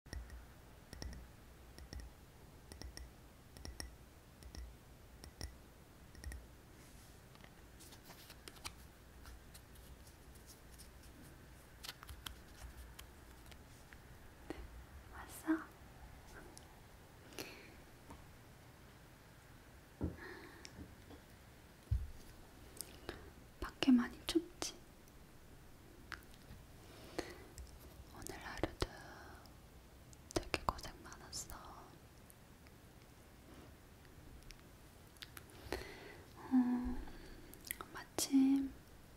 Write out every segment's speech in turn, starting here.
왔어? 밖에 많이 춥지? 오늘 하루도 되게 고생 많았어. 음, 마침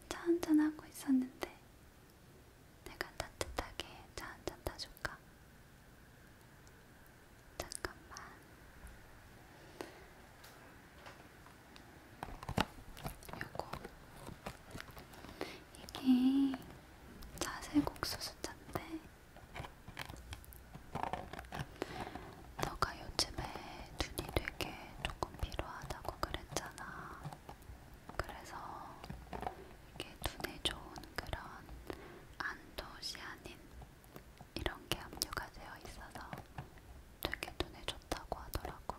차 한잔 하고 있었는데 내가 따뜻하게 차 한잔 타줄까? 잠깐만. 요거 이게 자세국수수잔데 너가 요즘에 눈이 되게 조금 필요하다고 그랬잖아. 그래서 이게 눈에 좋은 그런 안토시아닌 이런 게 함유가 되어 있어서 되게 눈에 좋다고 하더라고.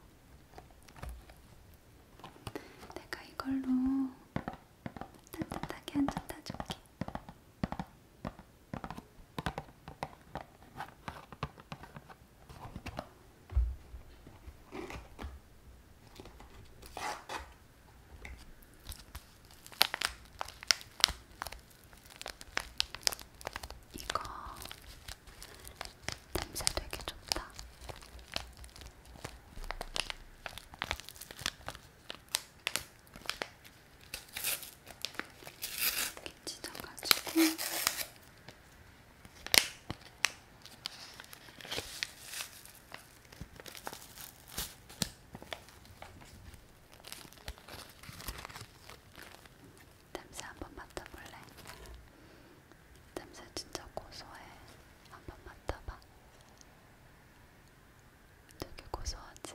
내가 이걸로 따뜻하게 한잔 타줄게. 이거 냄새 되게 좋다. 이렇게 찢어가지고 냄새 한번 맡아볼래? 냄새 진짜 고소해. 한번 맡아봐. 되게 고소하지?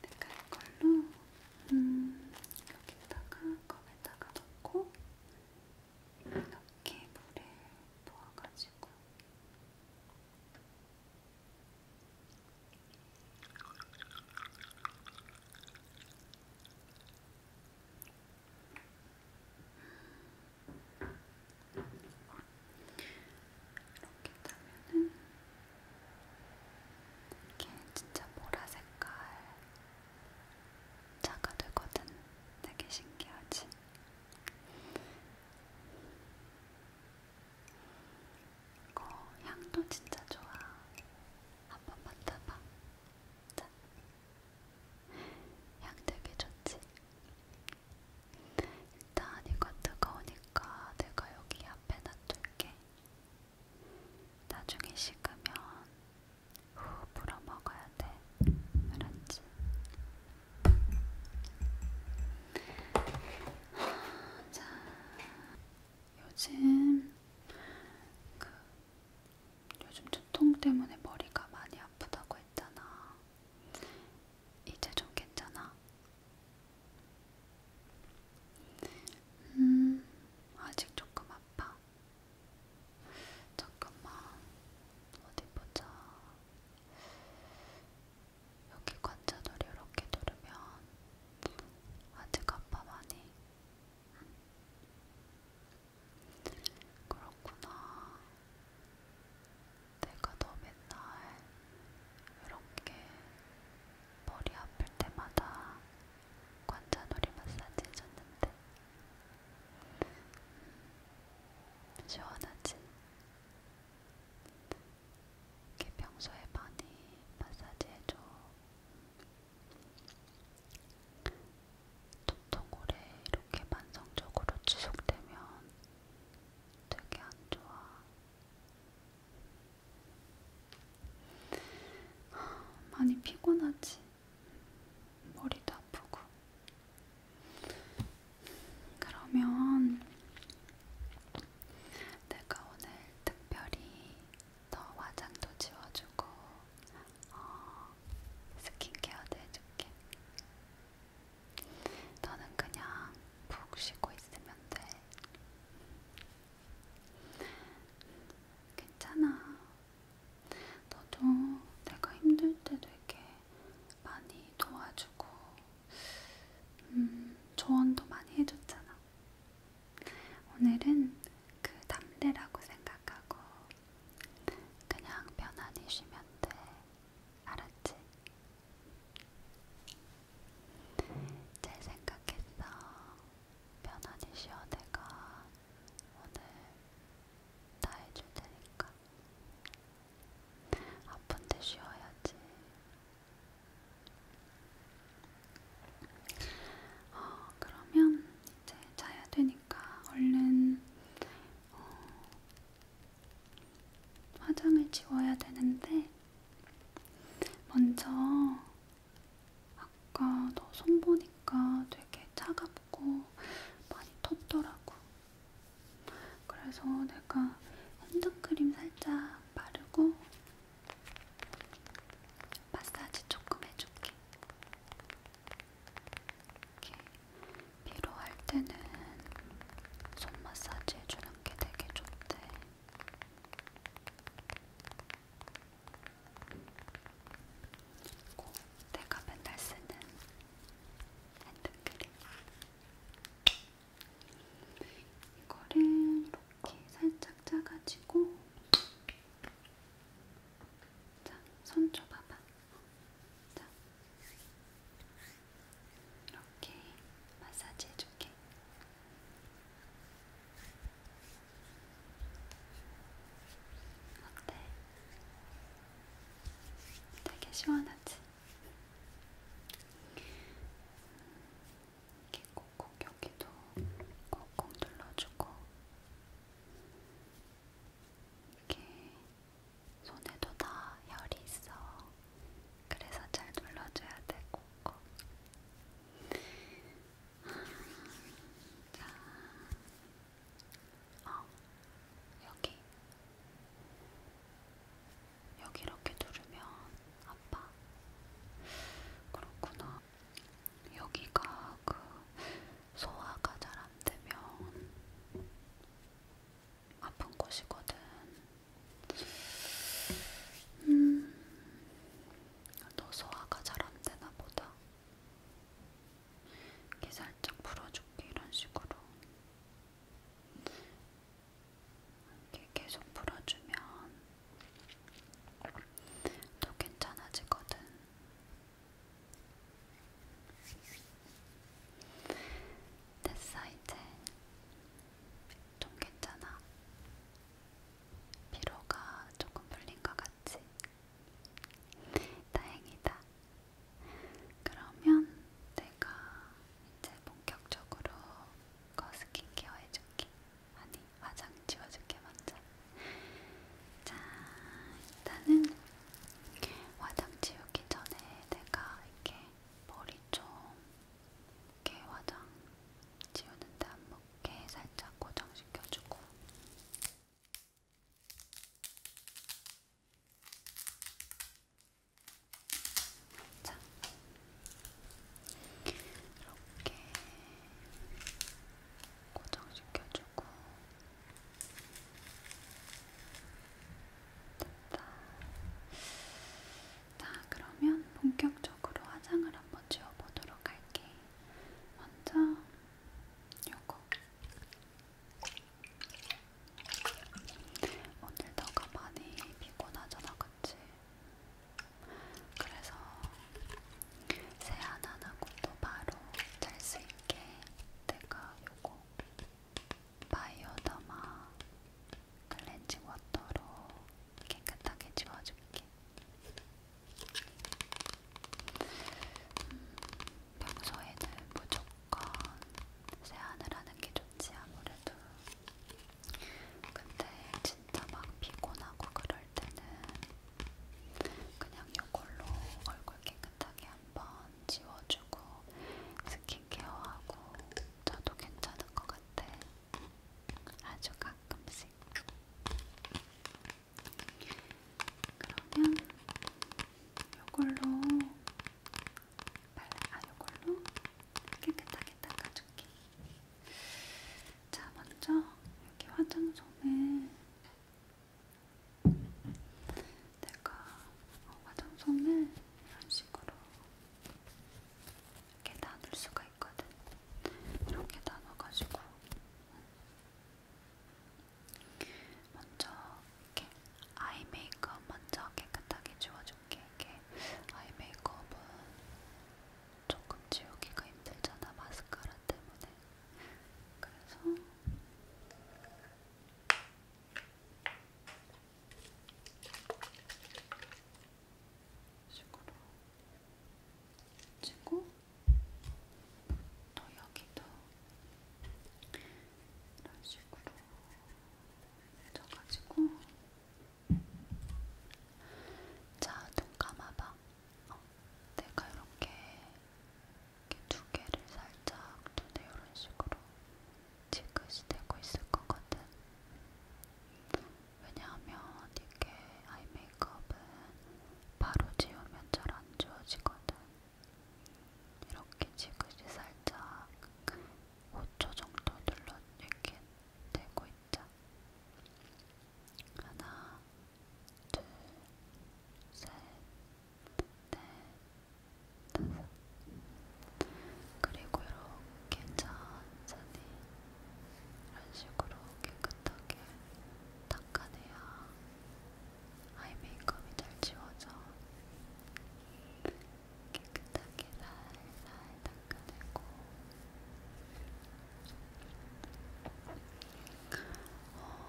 내가 이걸로 음, 여기다가 컵에다가 넣고 이렇게 물에 부어가지고 이렇게 짜면은 이게 진짜 보라 색깔 차가 되거든. 되게 신기하지? 이거 향도 진짜 좋아. 한번 맡아봐. 자, 향 되게 좋지? 일단 이건 뜨거우니까 내가 여기 앞에 놔둘게. 나중에 식으면 후 불어 먹어야 돼. 알았지? 자, 요즘 그 요즘 두통 때문에 머리가 많이 아프다고 했잖아. 이제 좀 괜찮아? 음, 아직 조금 아파. 잠깐만, 어디 보자. 여기 관자놀이 이렇게 누르면 아직 아파 많이. 그렇구나. 내가 너 맨날 이렇게 머리 아플 때마다 관자놀이 마사지 해줬는데 음, 시원하지? 이게 평소에 많이 마사지 해줘. 통통 오래 이렇게 만성적으로 지속되면 되게 안 좋아. 많이 피곤하지. 머리도 아프고. 그러면 내가 오늘 특별히 더 화장도 지워주고 어, 스킨케어도 해줄게. 너는 그냥 푹 쉬고 있으면 돼. 괜찮아. 너도 내가 힘들 때 되게 많이 도와주고, 음, 조언도 많이 해줬잖아. 오늘은 그 담배라고 생각하고 그냥 편안히 쉬면 돼. 알았지? 잘 생각했어. 편안히 쉬어 내가 오늘 다 해줄 테니까. 아픈데 쉬어야지. 어, 그러면 이제 자야 되니까 얼른 어, 화장을 지워야 되는데 먼저 아까 너 손 보니까 되게 차갑고 많이 텄더라고. 그래서 내가 핸드크림 살짝 바르고 마사지 조금 해줄게. 이렇게 피로할 때는 손 마사지 해주는 게 되게 좋대. 그리고 내가 맨날 쓰는 핸드크림. 이거를 이렇게 이렇게 살짝 짜가지고 자, 손 줘봐봐. 자, 이렇게 마사지 해줄게. 어때? 되게 시원하지? 이렇게 콕콕 여기도 콕콕 눌러주고 이렇게 손에도 다 열이 있어. 그래서 잘 눌러줘야 돼, 콕콕. 자, 어, 여기. 여기 이렇게 누르면 아파. 그렇구나. 여기가 그 소화가 잘 안 되면 아픈 곳이거든. 음, 너 소화가 잘 안 되나 보다. 이렇게 살짝 풀어줄게 이런 식으로. 이렇게 계속 풀어주면 또 괜찮아지거든. 됐어, 이제. 좀 괜찮아. 피로가 조금 풀린 것 같지? 다행이다. 그러면 내가 이제 본격적으로 거 스킨케어 해줄게. 아니 화장 지워줄게 먼저. 자 일단은 화장 지우기 전에 내가 이렇게 머리 좀 이렇게 화장 지우는데 안 먹게 살짝 고정시켜주고. 자, 이렇게 고정시켜주고 됐다. 자, 그러면 본격적으로 화장을 한번 지워보도록 할게. 먼저 요거. 오늘 너가 많이 피곤하잖아, 그치? 그래서 세안 안 하고 또 바로 잘 수 있게 내가 요거 바이오더마 클렌징 워터로 깨끗하게 지워줄게. 음, 평소에는 무조건 세안을 하는 게 좋지 아무래도 근데 진짜 막 피곤하고 그럴 때는 그냥 이걸로 얼굴 깨끗하게 한번 지워주고 스킨케어하고 저도 괜찮은 것 같아. 아주 가끔씩. 그러면 이걸로 발라, 아, 이걸로 깨끗하게 닦아줄게. 자, 먼저 여기 화장솜에 내가 어, 화장솜을 이런 식으로 이렇게 나눌 수가 있거든. 이렇게 나눠가지고 먼저 이렇게 아이 메이크업 먼저 깨끗하게 지워줄게. 이렇게 아이 메이크업은 조금 지우기가 힘들잖아 마스카라 때문에. 그래서 식으로 치고 또 여기도 이런 식으로 해줘가지고. 자, 눈 감아봐. 어, 내가 이렇게, 이렇게 두 개를 살짝 눈에 이런 식으로 지그시 대고 있을 거거든. 왜냐하면 이게 아이 메이크업은 바로 지우면 잘 안 지워지거든. 이렇게 지그시 살짝 5초 정도 눌러 이렇게 대고 있죠. 하나, 둘, 셋, 넷, 다섯. 그리고 이렇게 천천히 이런 식으로 깨끗하게 닦아내야 아이 메이크업이 잘 지워져. 이렇게 깨끗하게 살살 닦아내고 어,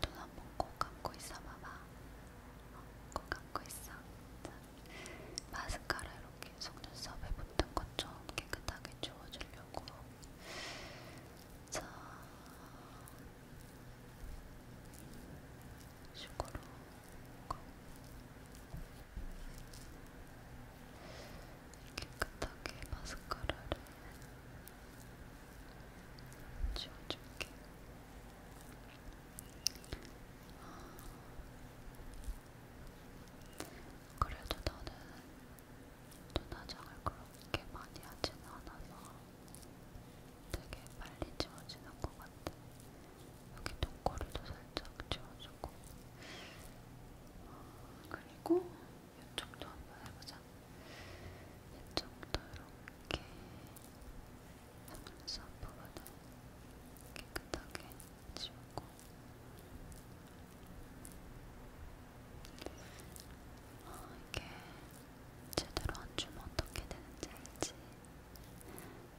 눈 한번 꼭 감고 있어 봐봐 어, 꼭 감고 있어 자, 마스카라 이렇게 속눈썹에 붙은 것 좀 깨끗하게 지워주려고 자, 식으로 깨끗하게 마스카라를 지워줄게. 아, 그래도 나는 눈화장을 그렇게 많이 하진 않아서 되게 빨리 지워지는 것 같아. 여기 똥꼬리도 살짝 채워주고 어, 그리고 이쪽도 한번 해보자. 이쪽도 이렇게 속눈썹 부분을 깨끗하게 지우고 어, 이게 제대로 안 주면 어떻게 되는지 알지?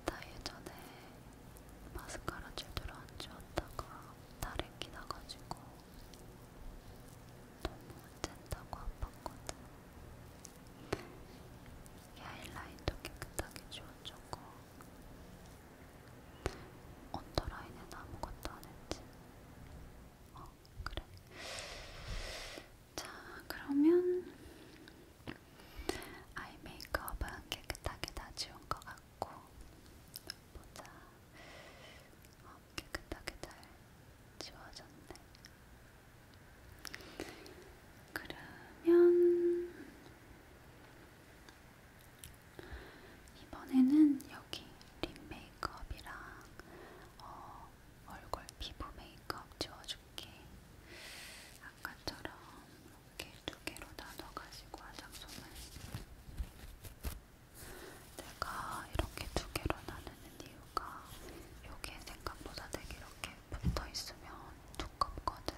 나 예전에 마스카라 제대로 안 지웠다가 다리 끼나가지고 너무 짠다고 아팠거든. 이 하이라인도 깨끗하게 지워졌고 언더라인은 아무것도 안 했지. 어, 그래. 자, 그러면 아이 메이크업은 깨끗하게 다 지운 것 같고 보자. 어, 깨끗하게 잘 지워졌네. 그러면 이번에는 여기 립 메이크업이랑 어, 얼굴 피부 메이크업 지워줄게. 아까처럼 이렇게 두 개로 나눠가지고 화장솜을 내가 이렇게 두 개로 나누는 이유가 요게 생각보다 되게 이렇게 붙어 있으면 두껍거든.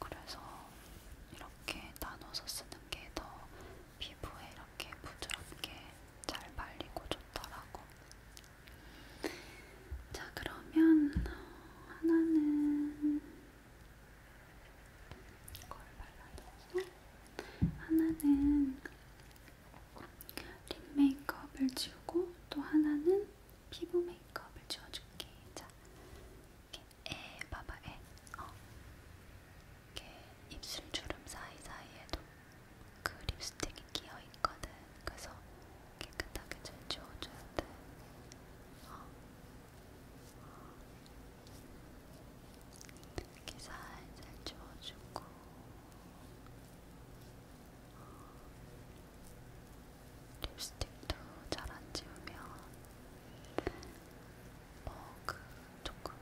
그래서 이렇게 나눠서 쓰는 게 더 피부에 이렇게 부드럽게 잘 발리고 좋더라고. 자, 그러면 하나는 이걸 발라줘서 하나는 립 메이크업을 지우고 또 하나는 피부 메이크업을 지워줄게. 자, 이렇게 에 봐봐 에. 어. 이렇게 입술 주름 사이 사이에도 그 립스틱이 끼어 있거든. 그래서 깨끗하게 잘 지워줘야 돼. 어. 이렇게 살살 지워주고. 립스틱도 잘 안 지우면 뭐 그 조금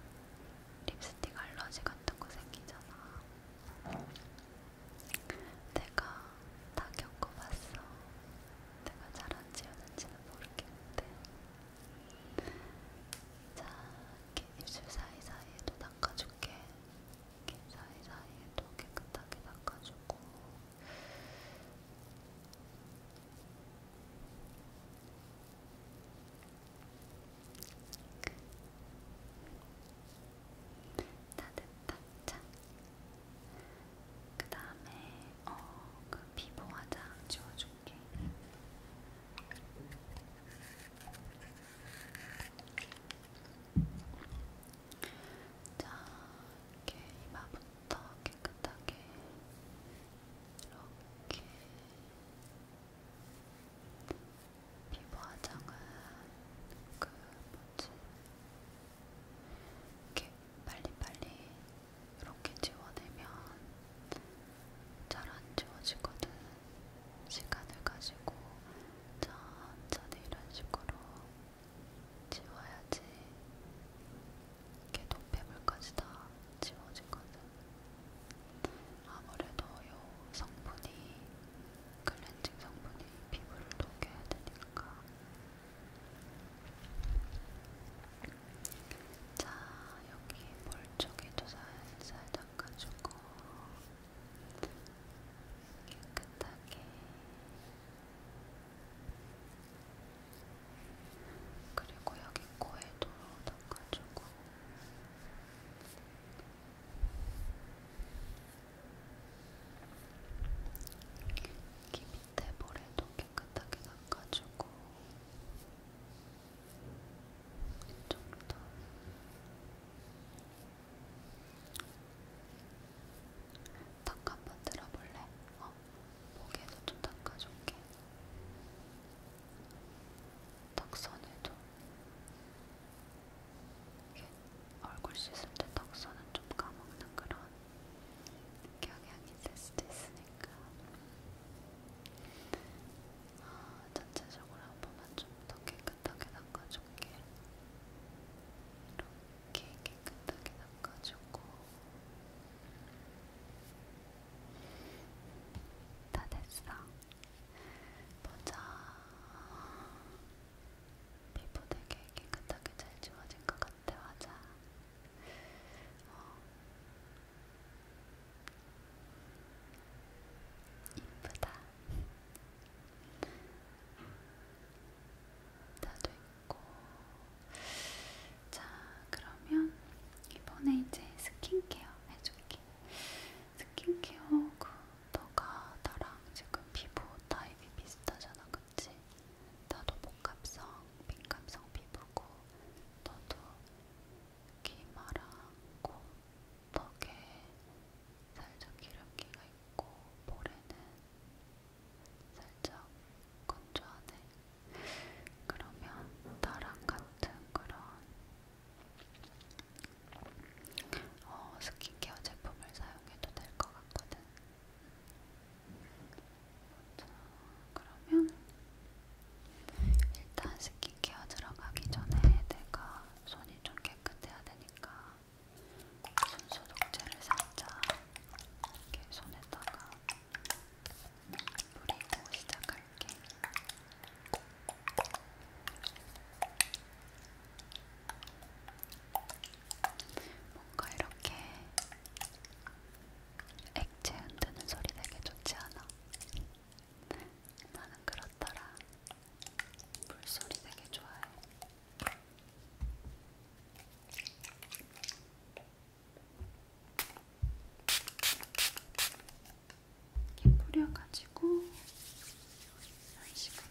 립스틱 알러지 같은 거 생기잖아. 내가 다 겪어봤어. 내가 잘안 지우는지는 모르겠는데 자, 이렇게 입술 사이사이에도 닦아줄게 이렇게 사이사이에도 깨끗하게 닦아주고 다 됐다. 살짝. 어, 그 다음에 어그 피부 화장 지워줄게. 자, 이렇게 이마부터 깨끗하게 이렇게 피부 화장은 그 뭐지? 이렇게 빨리빨리 이렇게 지워내면 잘 안 지워지거든. 시간을 가지고 천천히 이런 식으로 지워야지 이렇게 노폐물까지 다 지워지거든. 아무래도 요 성분이 클렌징 성분이 피부를 녹여야 되니까 자, 여기 볼 쪽에도 살살 닦아주고 깨끗하게 그리고 여기 코에도 닦아주고 여기 밑에 볼에도 깨끗하게 닦아주고 이쪽도 닦 한번 들어볼래? 어? 목에도 좀 닦아줄게 턱선에도 얼굴 씻을 때 턱선은 좀 까먹는 그런 경향이 있을 수도 있으니까 어, 전체적으로 한 번만 좀 더 깨끗하게 닦아줄게. 이렇게 깨끗하게 닦아주고 다 됐어. 보자. 피부 되게 깨끗하게 잘 지워진 것 같아, 맞아. 어. 이쁘다. 나도 있고. 자, 그러면 이번에 이제 스킨케어 해줄게. 스킨케어 그 너가 나랑 지금 피부 타입이 비슷하잖아, 그치? 나도 복합성, 민감성 피부고 너도 기마랑 코, 턱에 살짝 기름기가 있고 볼에는 살짝 건조하네. 그러면 나랑 같은 그런 어, 스킨케어 제품을 사용해도 될 것 같거든. 자, 그러면 일단 스킨케어 들어가기 전에 내가 손이 좀 깨끗해야 되니까 손소독제를 살짝 이렇게 손에다가 뿌리고 시작할게. 뭔가 이렇게 액체 흔드는 소리 되게 좋지 않아? 나는 그렇더라. 물소리 되게 좋아해. 이렇게 뿌려가지고 이런 식으로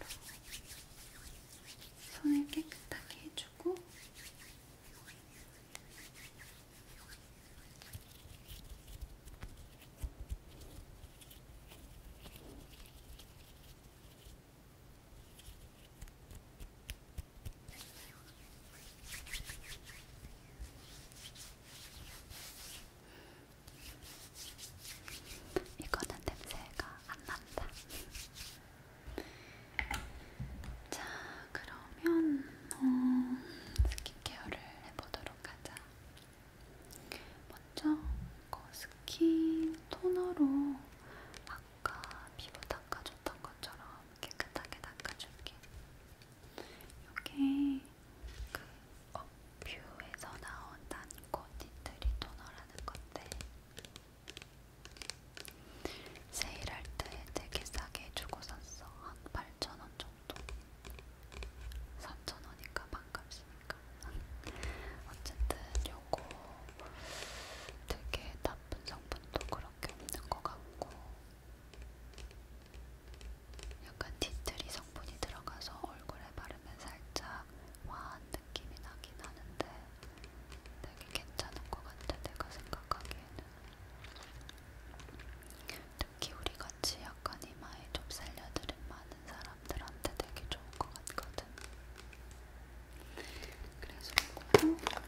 손을 깨끗하게 해주고 이거는 냄새가 안 난다. 자, 그러면 어, 스킨케어를 해보도록 하자. 먼저 그 스킨 토너로 아까 피부 닦아줬던 것처럼 깨끗하게 닦아줄게. 이게 그 업뷰에서 나온 난코 니트리 토너라는 건데 세일할 때 되게 싸게 주고 샀어. 한 8,000원 정도. 3,000원인가 반값이니까. 어쨌든 요거 되게 나쁜 성분도 그렇게 없는 것 같고 약간 디트리 성분이 들어가서 얼굴에 바르면 살짝 화한 느낌이 나긴 하는데 되게 괜찮은 것 같아 내가 생각하기에는 특히 우리 같이 약간 이마에 좀 살려드린 많은 사람들한테 되게 좋은 것 같거든. 그래서 이거는 이렇게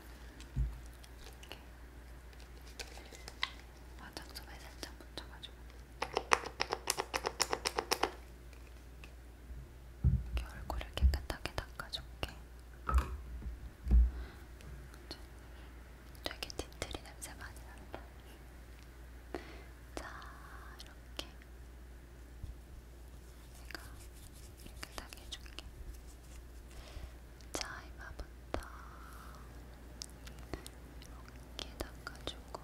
화장솜에 살짝 묻혀가지고. 이렇게 얼굴을 깨끗하게 닦아줄게. 되게 틴트리 냄새 많이 난다. 자, 이렇게 내가 깨끗하게 해줄게. 자, 이마부터 이렇게 닦아주고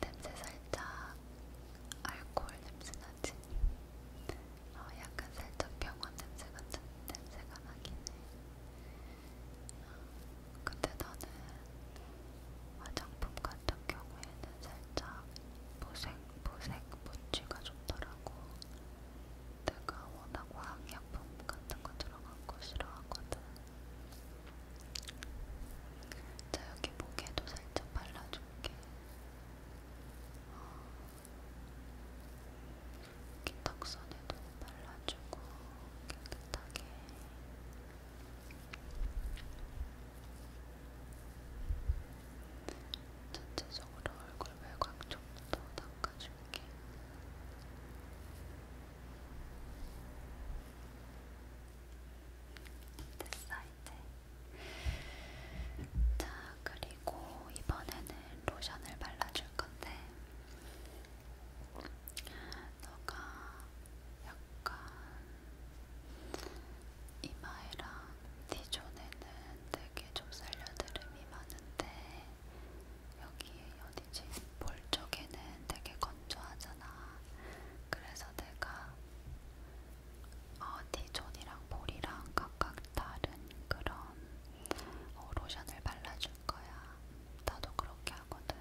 냄새 살짝 알코올 냄새 나지? 어, 약간 살짝 병원 냄새 같은 냄새가 나긴 해. 어, 근데 나는 화장품 같은 경우에는 살짝 보색보색 무취가 좋더라고. 내가 워낙 화학약품 같은 거 들어간 거 싫어하거든. 자, 여기 목에도 살짝 발라줄게. 어, 여기 턱선에도 발라주고 깨끗하게. 전체적으로 얼굴 외곽 쪽부터 닦아줄게. 됐어 이제. 자 그리고 이번에는 로션을 발라줄 건데. 너가 약간 이마에랑 T존에는 되게 좀 살려드름이 많은데 여기에 어디지? 볼 쪽에는 되게 건조하잖아. 그래서 내가 어, T존이랑 볼이랑 각각 다른 그런 어, 로션을 발라줄 거야. 나도 그렇게 하거든.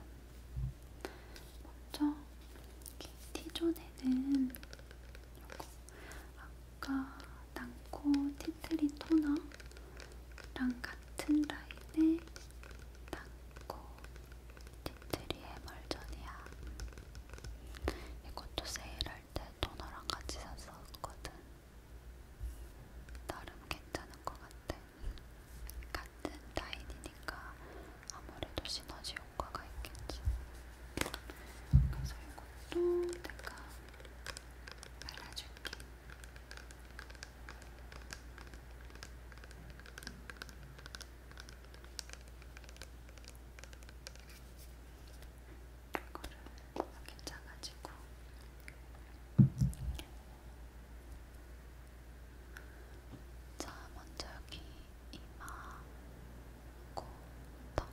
먼저 T존에는 요거 아까 난코 티트리 토너랑 같은 라인의 난코 티트리 해멀전이야. 이것도 세일할 때 토너랑 같이 샀었거든. 나름 괜찮은 것 같아. 같은 라인이니까 아무래도 시너지 효과가 있겠지. 그래서 이것도 내가 발라줄게. 이거를 이렇게 짜가지고 자 먼저 여기 이마, 코, 턱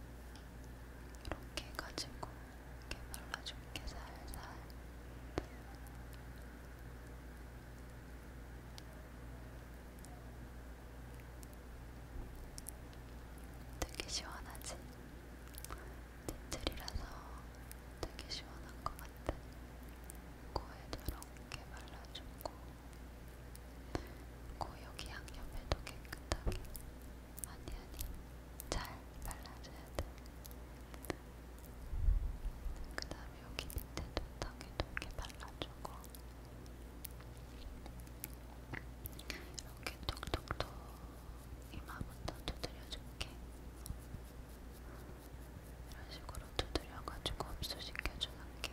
이렇게 해가지고 이렇게 발라줄게 살살 되게 시원하지? 틴트리라서 되게 시원한 것 같아. 코에도 이렇게 발라주고 고여기 양옆에도 깨끗하게 아니 아니 잘 발라줘야 돼. 그 다음에 여기 밑에도 턱에도 이렇게 발라주고 이렇게 톡톡톡 이마부터 두드려줄게. 이런 식으로 두드려가지고 흡수시켜주는 게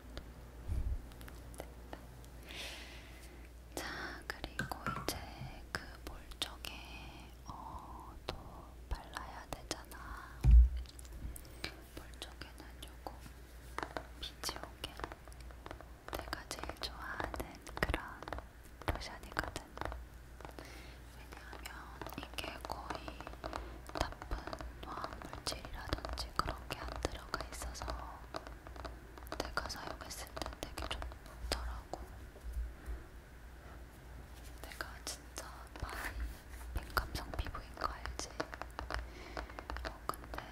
됐다. 자, 그리고 이제 그볼 쪽에 어, 또 발라야 되잖아. 볼 쪽에는 요거 비치오겔 내가 제일 좋아하는 그런 로션이거든. 왜냐하면 이게 거의 나쁜 화학 물질이라든지 그런 게 안 들어가 있어서 내가 사용했을 때 되게 좋더라고. 내가 진짜 많이 민감성 피부인 거 알지? 어, 근데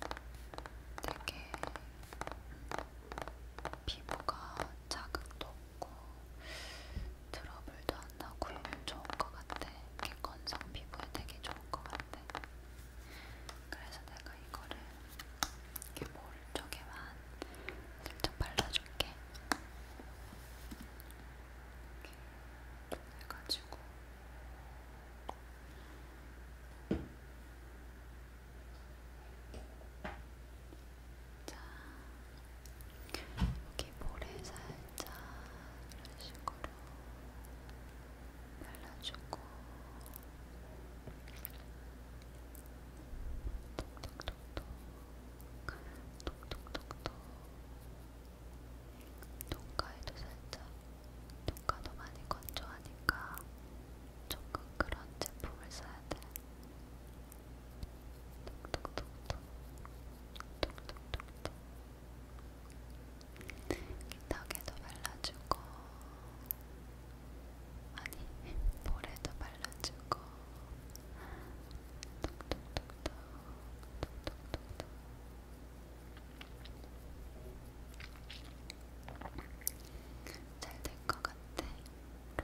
이거는 되게 피부가 자극도 없고 트러블도 안 나고 이면 좋은 것 같아. 이게 건성 피부에 되게 좋은 것 같아. 그래서 내가 이거를 이렇게 볼 쪽에만 살짝 발라줄게. 이렇게 해가지고. 자, 여기 볼에 살짝 이런 식으로 발라주고 톡톡톡톡 톡톡톡톡 눈가에도 살짝 눈가도 많이 건조하니까 조금 그런 제품을 써야 돼. 턱에도 발라주고 아니 볼에도 발라주고 톡톡톡톡 톡톡톡톡 잘 될 것 같아.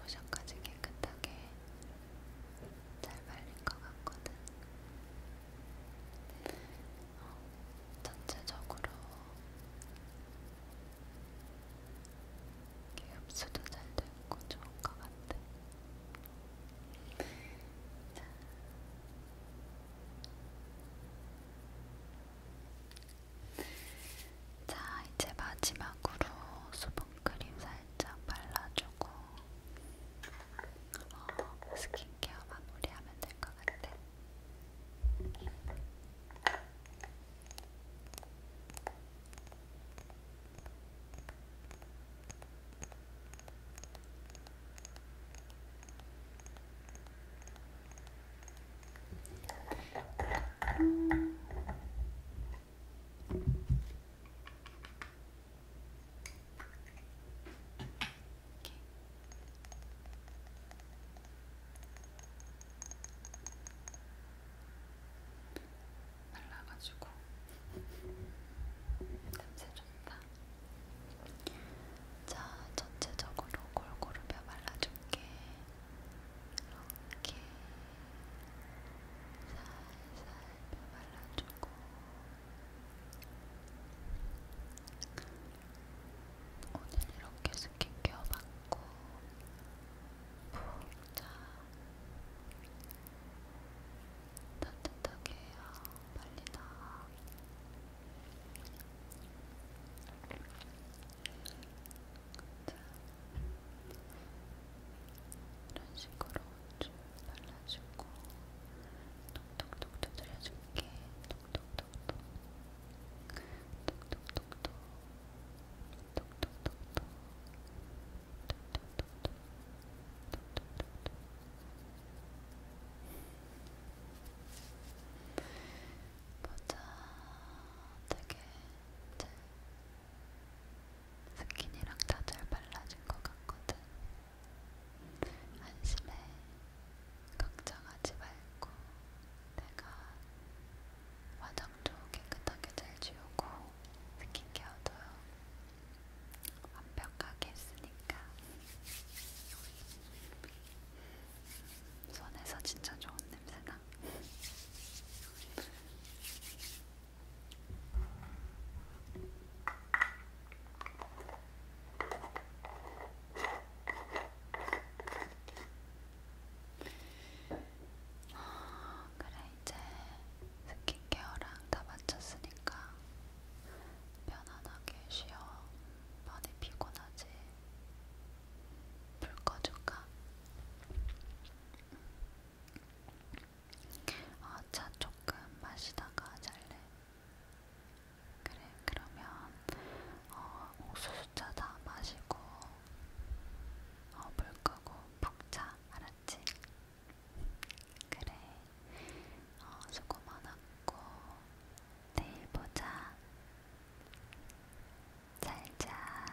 로션까지 깨끗하게 잘 발린 것 같거든. 어, 전체적으로 흡수도 잘 되고 좋은 것 같아. 자. 자, 이제 마지막으로 수분 선크림 살짝 발라주고 어, 스킨케어 마무리하면 될 것 같아. 음, 말라가지고 냄새 좋다. 자, 전체적으로 골고루 뼈 말라줄게. 이렇게. 살살 발라주고 오늘 이렇게 스킨케어 받고 푹 자 따뜻하게 해요 빨리 나와 자, 이런 식으로 쭉 발라주고 톡톡톡 두드려줄게 톡톡톡톡 톡톡톡톡 톡톡톡톡 보자 되게 이제 스킨이랑 다 잘 발라진 것 같거든. 안심해. 걱정하지 말고 내가 화장도 깨끗하게 잘 지우고 스킨케어도 완벽하게 했으니까 손에서 진짜 좋은 냄새나. 어, 그래 이제 스킨케어랑 다 마쳤으니까 편안하게 쉬어. 많이 피곤하지. 불 꺼줄까? 음. 어, 차 조금 마시다가 잘래? 그래, 그러면 어, 옥수수차 다 마시고 어, 물 끄고 푹 자 알았지? 그래, 어, 수고 많았고 내일 보자. 잘자.